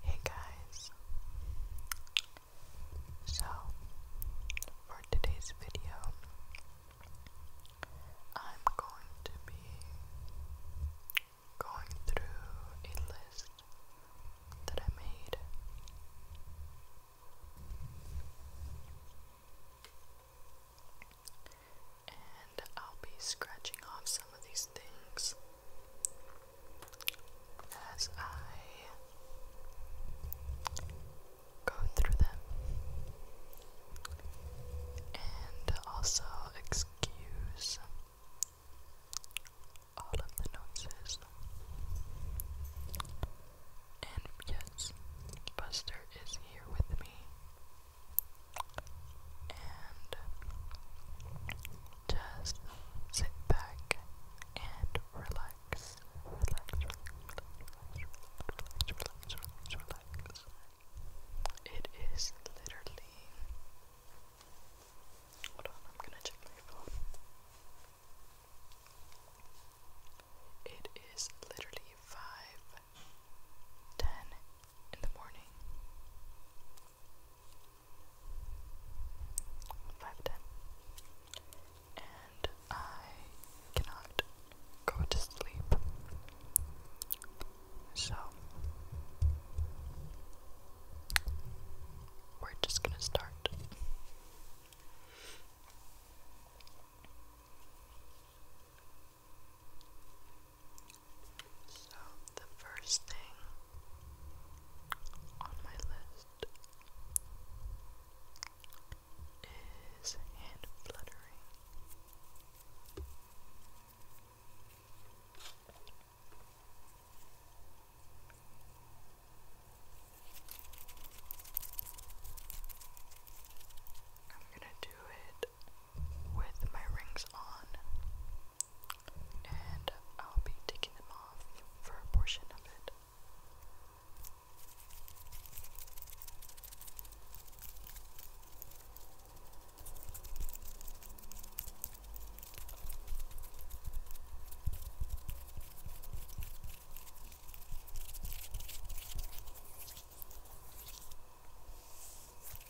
Hey guys, so for today's video, I'm going to be going through a list that I made. And I'll be scratching off some of these things as I go through them and also excuse all of the noises. And yes, Buster is here with me. And just sit back and relax. Relax, relax, relax, relax, relax, relax. It is literally. Hold on, I'm gonna check my phone. It is literally five ten in the morning five ten. And I cannot go to sleep. So we're just gonna start. So, the first thing on my list is hand fluttering. I'm going to do it with my rings on and I'll be taking them off for a portion of it.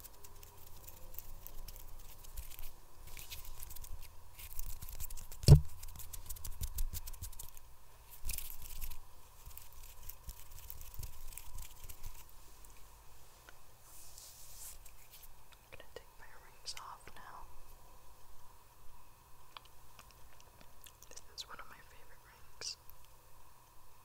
I'm going to take my rings off now. This is one of my favorite rings.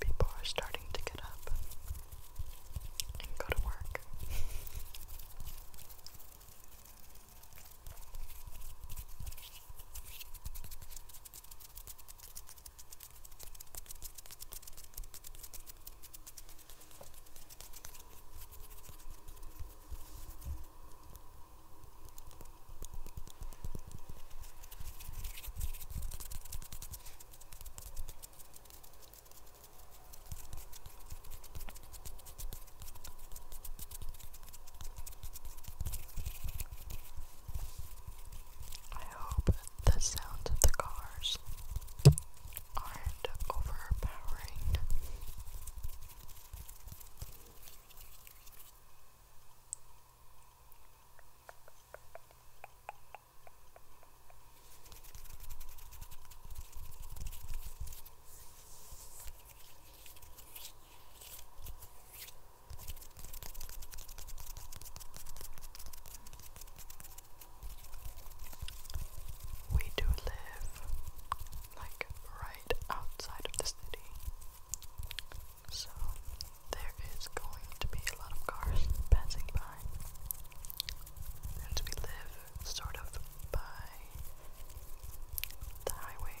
People are starting to get up and go to work. I hope the sound of the cars aren't overpowering. We do live like right outside of the city. So there is going to be a lot of cars passing by. And we live sort of by the highway.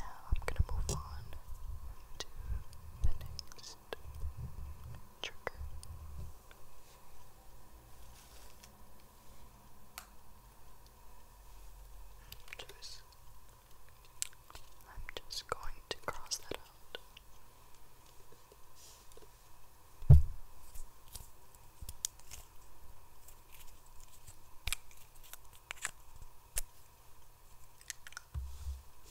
Now I'm gonna move on to the next trigger. I'm just going to cross that out.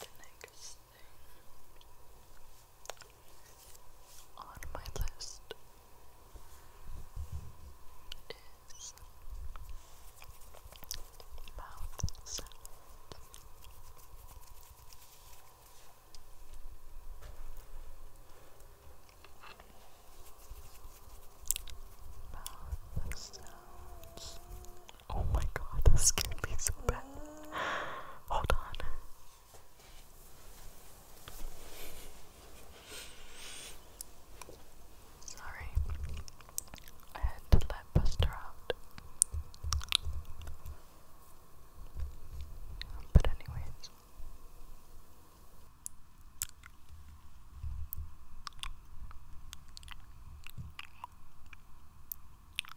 the next thing on my list is mouth sounds. Mouth sounds Oh my god, that scared me so bad. Hold on. Sorry. I had to let Buster out. But anyways.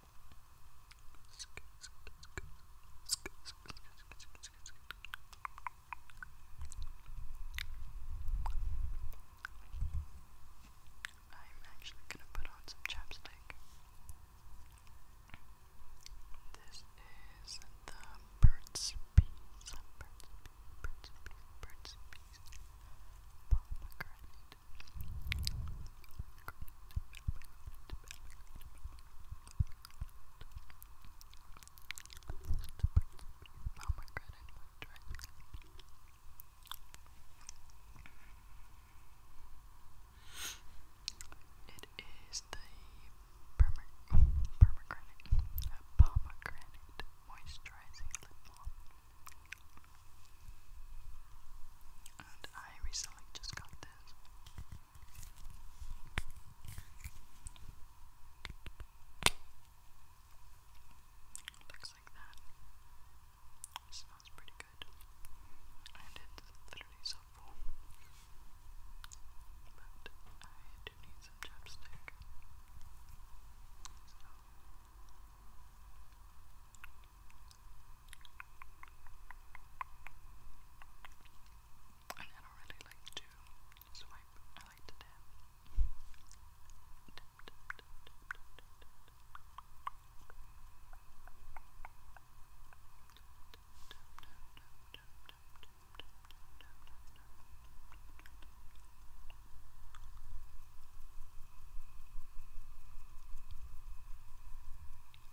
I'm actually going to put on some chapstick. This is the Bird's Bees. Bird's Bees, Bird's Bees, Bird's Bees. Pomegranate. It is the perma permagranate, uh, pomegranate moisturizing lip balm. And I recently just got this. Looks like that. smells pretty good. And it's literally so full. But I do need some chapstick. And I don't really like to swipe, I like to tap. tap, tap, tap, tap, tap, tap. I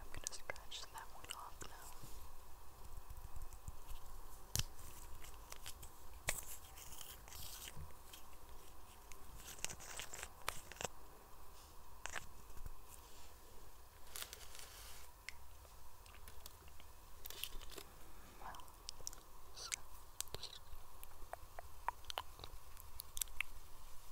I'm gonna scratch that one off now. Well, so,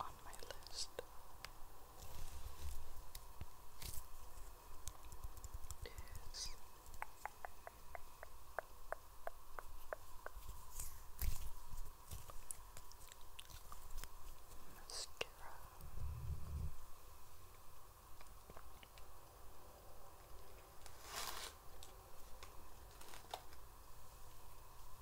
on my list is mascara.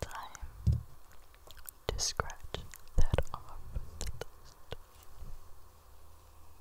Time to scratch that off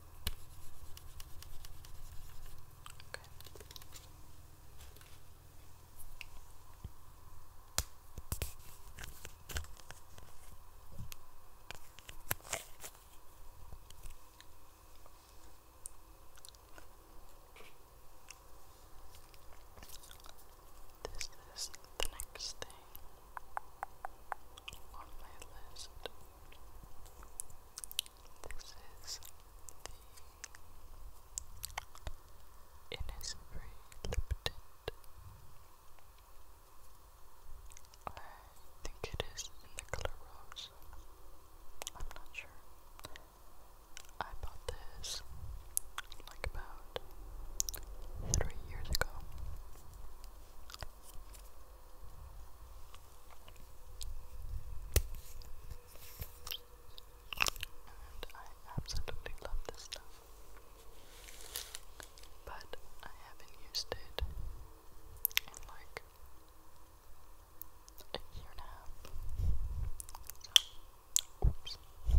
Okay. This is the next thing on my list. This is the Innisfree Lip I think it is in the color rose. I'm not sure. I bought this like about three years ago. And I absolutely love this stuff. But I haven't used it in like a year and a half. So, oops. So,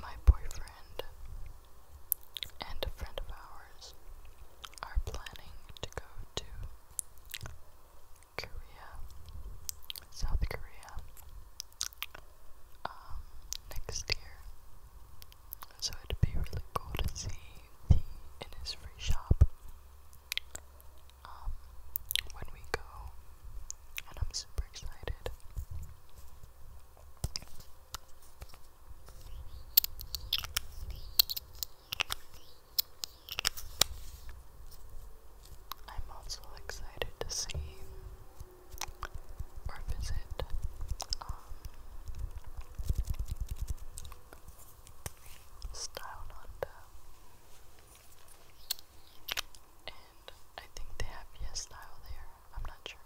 my boyfriend and a friend of ours are planning to go to Korea, South Korea, um, next year. So it'd be really cool to see the Innisfree shop um, when we go, and I'm super excited. I'm also excited to see or visit um, Style Nanda. And I think they have Yes Style there. I'm not sure.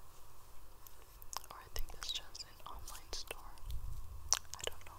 Or I think it's just an online store. I don't know.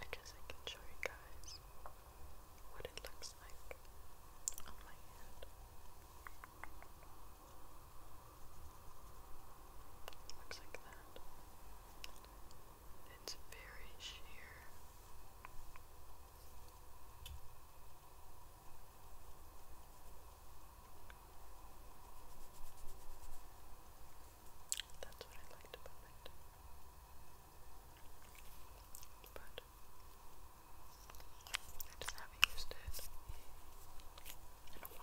I guess I can show you guys what it looks like on my hand. Looks like that. It's very sheer. That's what I liked about it. But I just haven't used it in a while.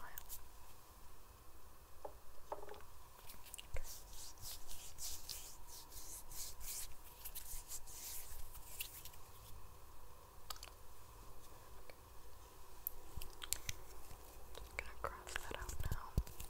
Just gonna cross that out now. Okay.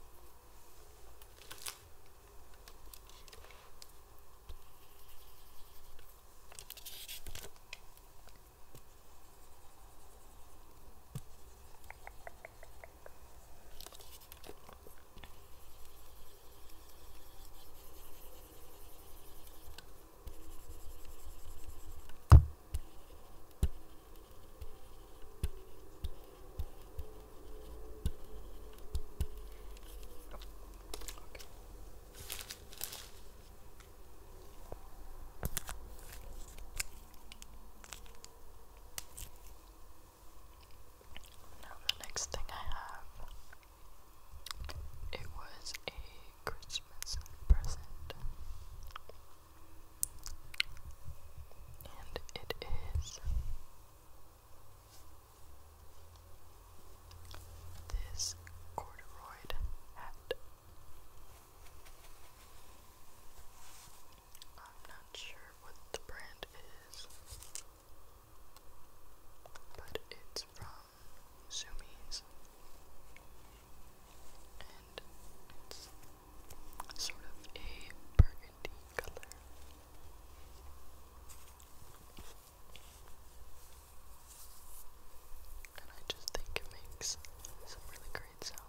Now the next thing I have it was a Christmas present and it is this corduroy hat. I'm not sure what the brand is, but it's from Zumi's it's sort of a burgundy color. And I just think it makes some really great sounds.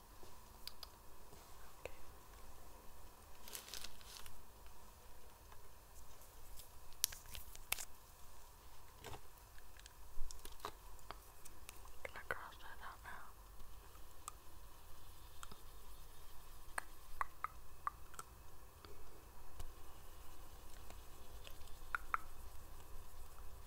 Okay. I'm gonna cross that out now. Okay.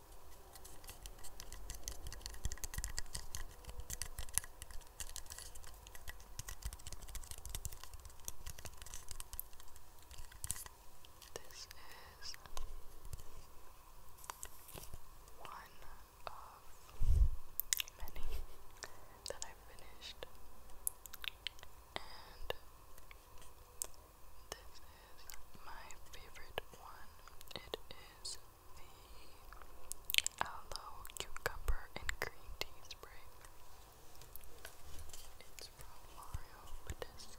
This is one of many that I finished, and this is my favorite one. It is the aloe cucumber and green tea spray. It's from Mario Badescu.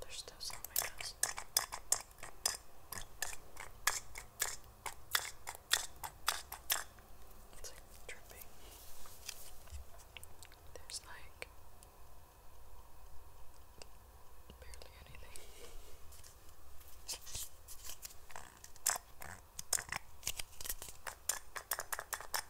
There's still some on my nose. It's like dripping. There's like barely anything.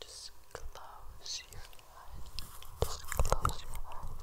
Just close your eyes. Just close your eyes. Close your eyes. Close your eyes.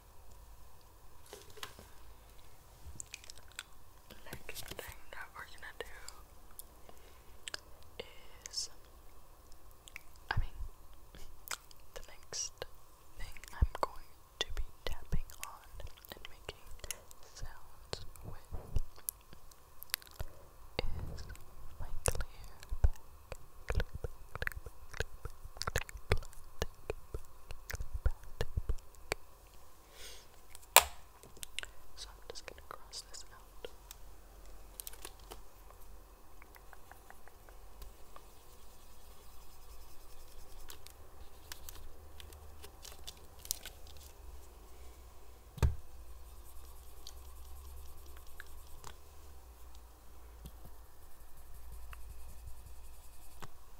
Next thing that we're gonna do is, I mean, the next thing I'm going to be tapping on and making sounds with is my clear back, so I'm just going to cross this out. Okay.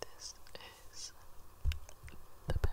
This is the bag.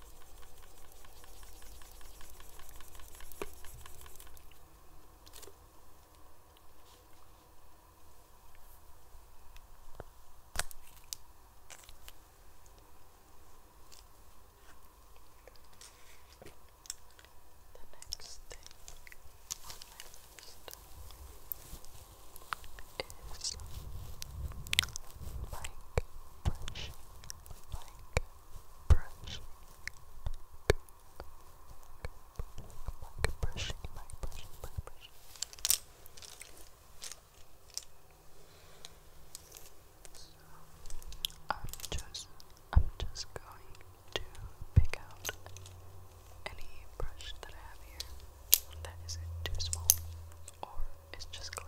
The next thing on my list is bike brushing, bike brushing, mic brushing, mic brushing, mic So I'm just, I'm just going to pick out any brush that I have here that isn't too small or is just clean.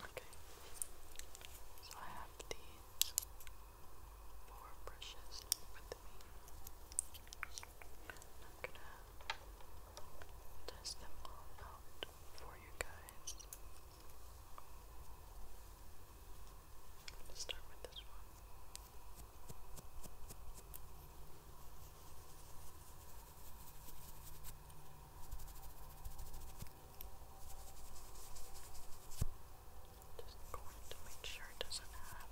Okay, so I have these four brushes with me. I'm gonna test them all out for you guys. Let's start with this one. Just going to make sure it doesn't have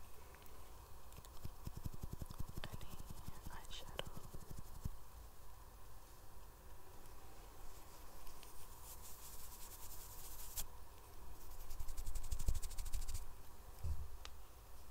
any eyeshadow.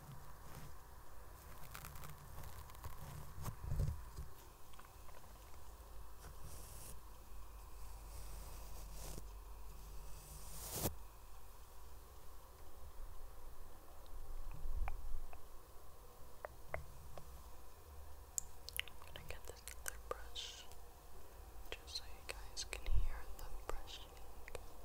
I'm gonna get this other brush just so you guys can hear the brushing.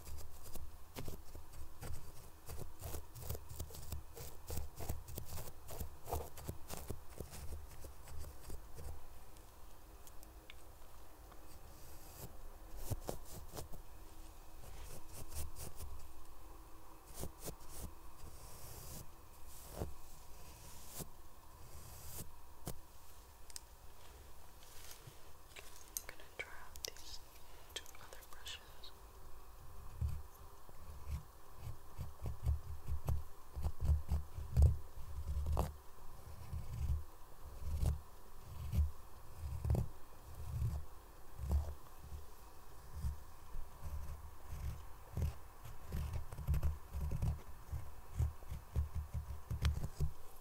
I'm gonna gonna these two other brushes.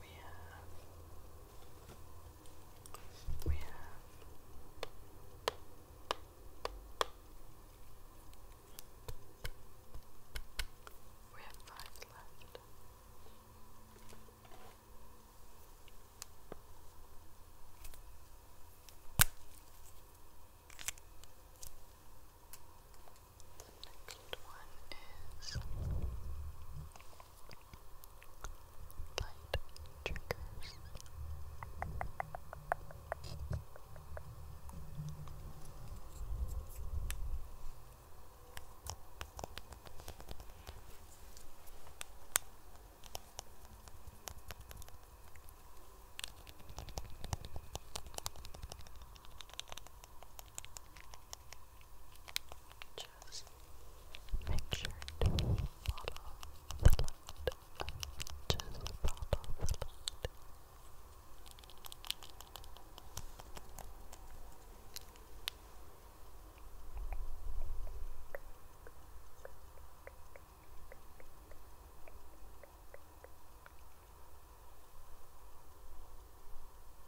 We have, we have we have five left. The next one is light triggers. Just make sure to follow the light. Just follow the light.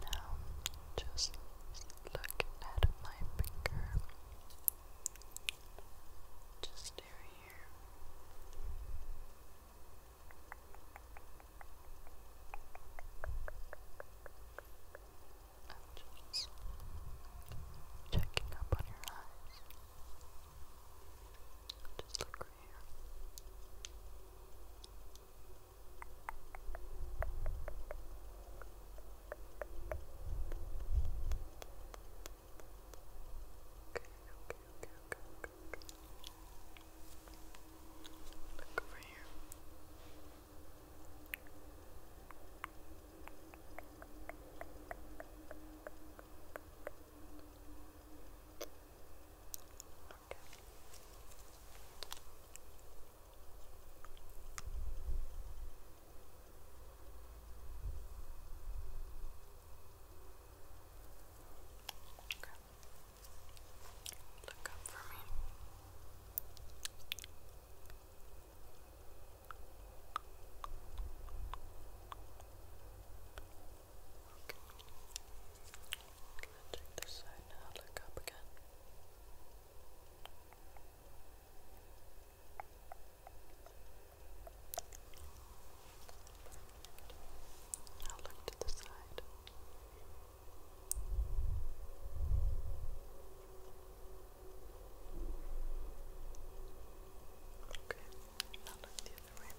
Now, just look at my finger. Just here. I'm checking up on your eyes. Just look right here. okay, okay, okay, okay, okay. Look over here. Okay. Okay. Look up for me. Okay. I'm to take side now, look up again. Now look to the side. Okay, now look the other way. Okay.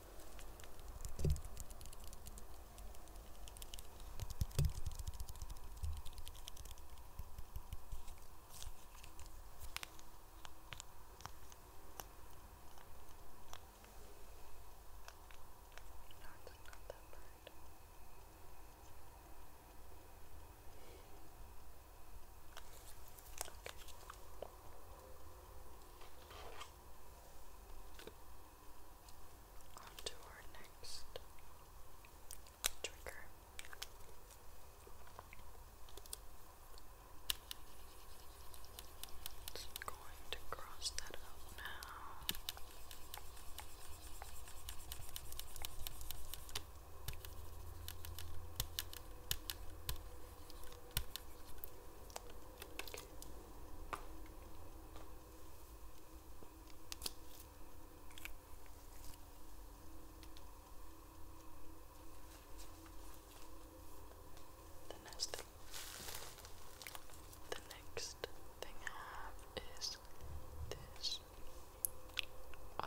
not that bad. Okay. On to our next trigger. It's going to cross that out now. The next thing I have is this um,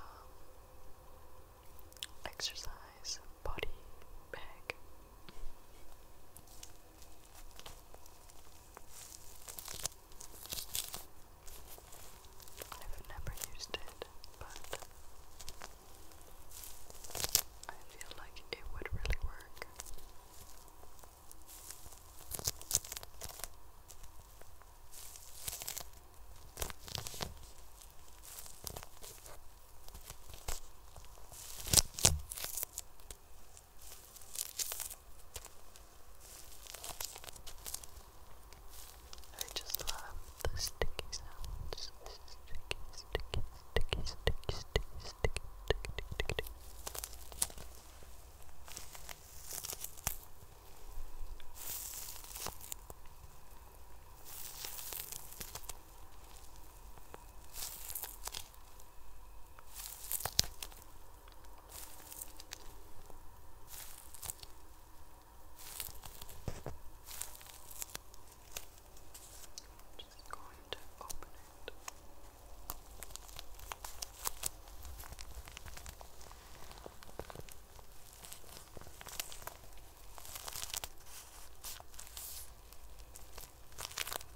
exercise body bag I've never used it, but I feel like it would really work. I just love the sticky sounds. Sticky, sticky, sticky, sticky, sticky, sticky, sticky, sticky. I just going to open it. There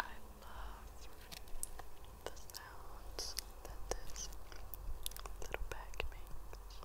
I love the sounds that this little bag makes.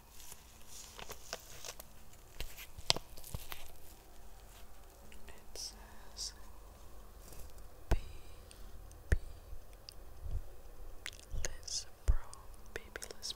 It says B B Liz Baby Liz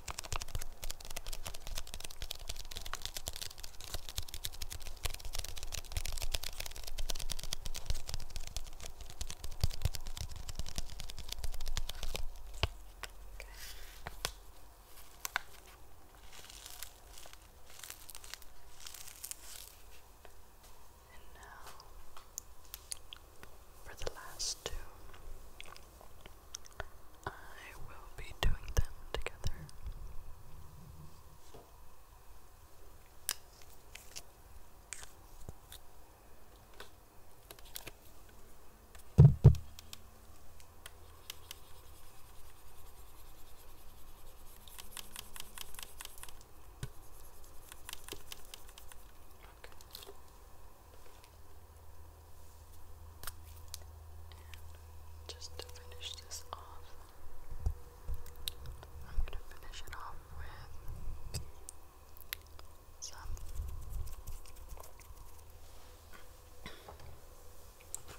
And now for the last two. I will be doing them together just to finish this off, I'm going to finish it off with some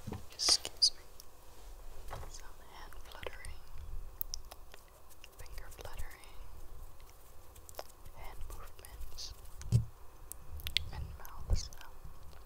excuse me some hand fluttering finger fluttering hand movements and mouth sounds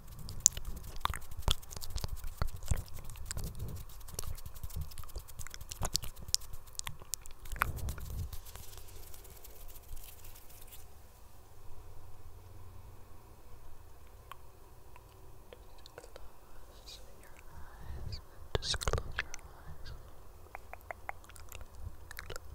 Just close your eyes. Just close your eyes. Close your eyes.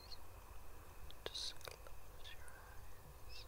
Just close your eyes. Just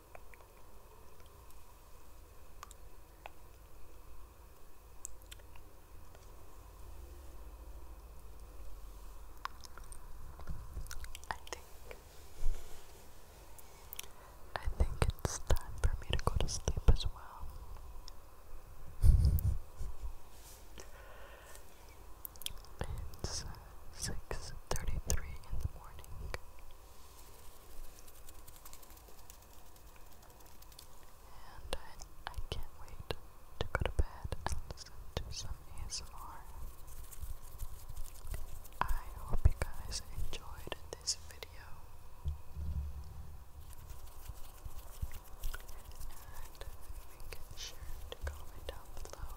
I think I think it's time for me to go to sleep as well. It's uh, six thirty-three in the morning. And I, I can't wait to go to bed and listen to some ASMR. I hope you guys enjoyed this video. And make sure to comment down below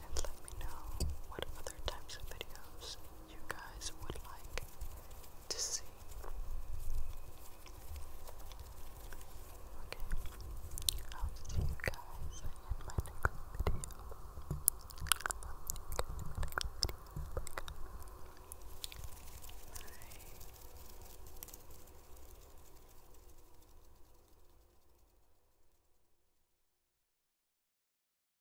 and let me know what other types of videos you guys would like to see. Okay, I'll see you guys in my next video. Bye.